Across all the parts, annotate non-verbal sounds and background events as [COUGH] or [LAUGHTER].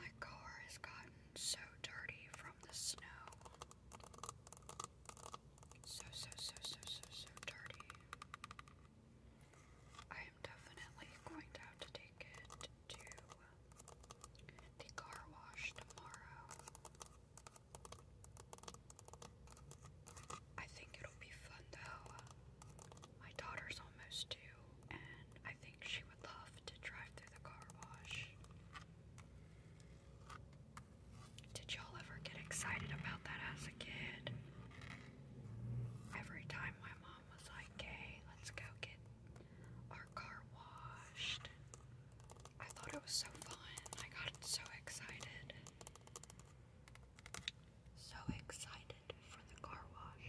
My car has gotten so dirty from the snow. So, so, so, so, so, so dirty. I am definitely going to take it to the car wash tomorrow. I think it'll be fun though. My daughter's almost two, and I think she would love to drive through the car wash. Did y'all ever get excited about that as a kid? Every time my mom was like, hey, let's go get our car washed, I thought it was so fun. I got so excited. So excited for the car wash.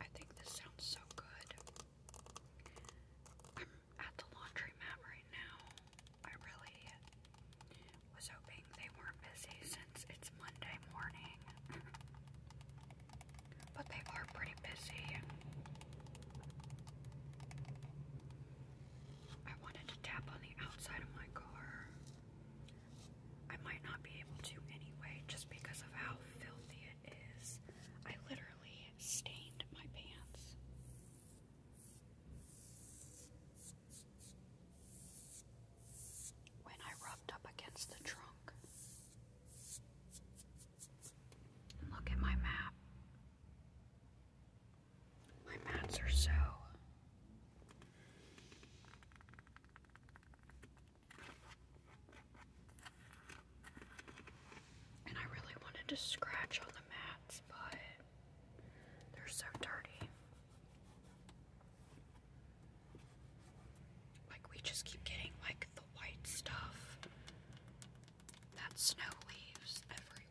I think this sounds so good. I'm at the laundromat right now. I really was hoping they weren't busy since it's Monday morning. [LAUGHS] But they are pretty busy. I wanted to tap on the outside of my car. I might not be able to anyway, just because of how filthy it is. I literally stained my pants. When I rubbed up against the trunk, Look at my map. My maps are so and I really wanted to scratch on the mats, but they're so dirty. Like, we just keep getting, like, the white stuff that snow leaves everywhere.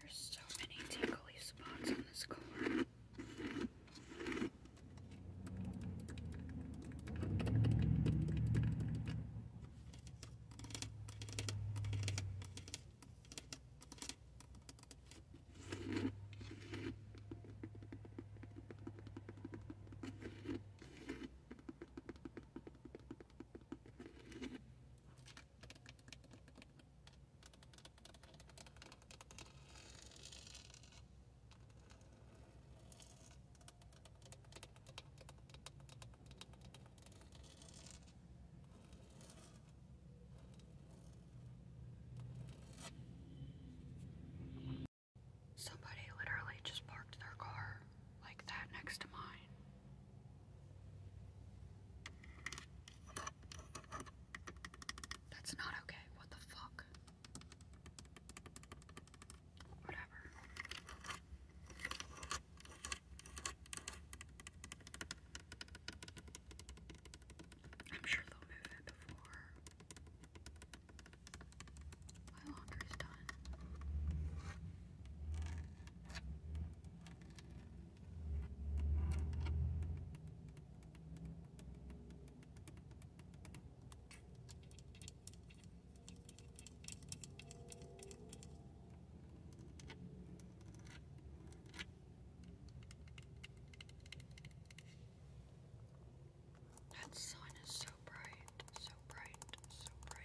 There's so many tingly spots on this car. Somebody literally just parked their car like that next to mine. That's not okay. What the fuck? Whatever. I'm sure they'll move it before my laundry's done. That sun is so bright, so bright, so bright.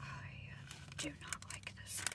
I do not like the scent.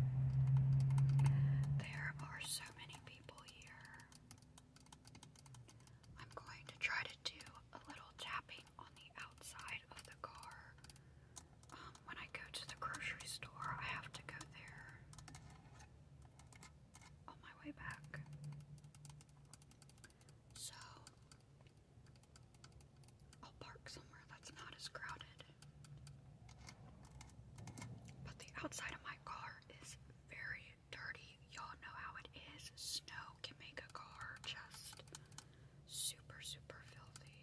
There are so many people here. I'm going to try to do a little tapping on the outside of the car. Um, when I go to the grocery store, I have to go there on my way back. So I'll park somewhere that's not as crowded but the outside of my car is very dirty. Y'all know how it is. Snow can make a car just super, super filthy.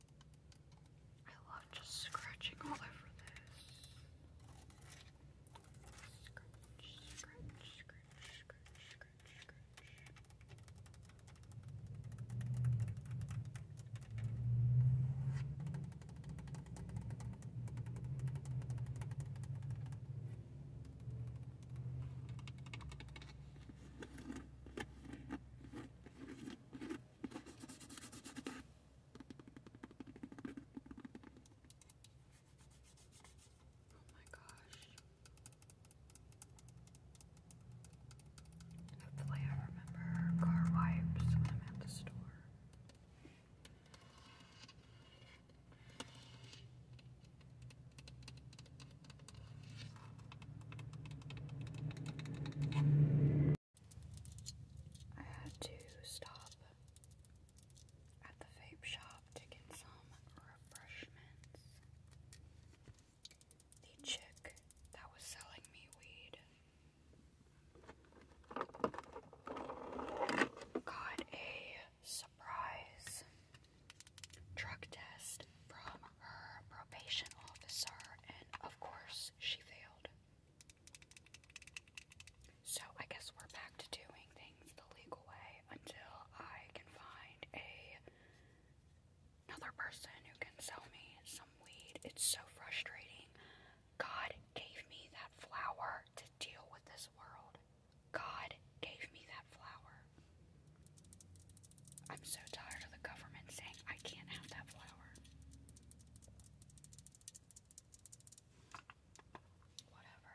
I love just scratching all over this. Oh my gosh. Hopefully I remember car wipes when I'm at the store. I had to stop at the vape shop to get some refreshments. The chick that was selling me weed got a surprise drug test from her probation officer, and of course, she failed. So, I guess we're back to doing things the legal way until I can find a another person who can sell me some weed. It's so frustrating. God gave me that flower to deal with this world. God gave me that flower. I'm so tired of the government saying I can't have that flower. Whatever.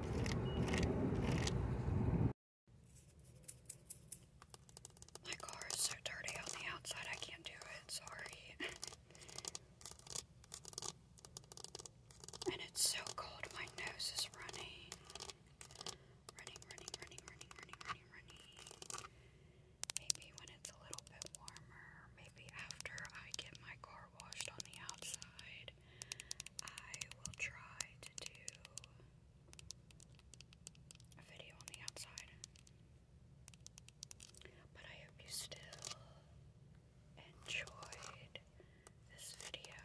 My car is so dirty on the outside, I can't do it. Sorry. and it's so cold, my nose is running. Running, running, running, running, running, running, Maybe when it's a little bit warmer, maybe after I get my car washed on the outside it. I will try to do a video on the outside. But I hope you still enjoyed this video.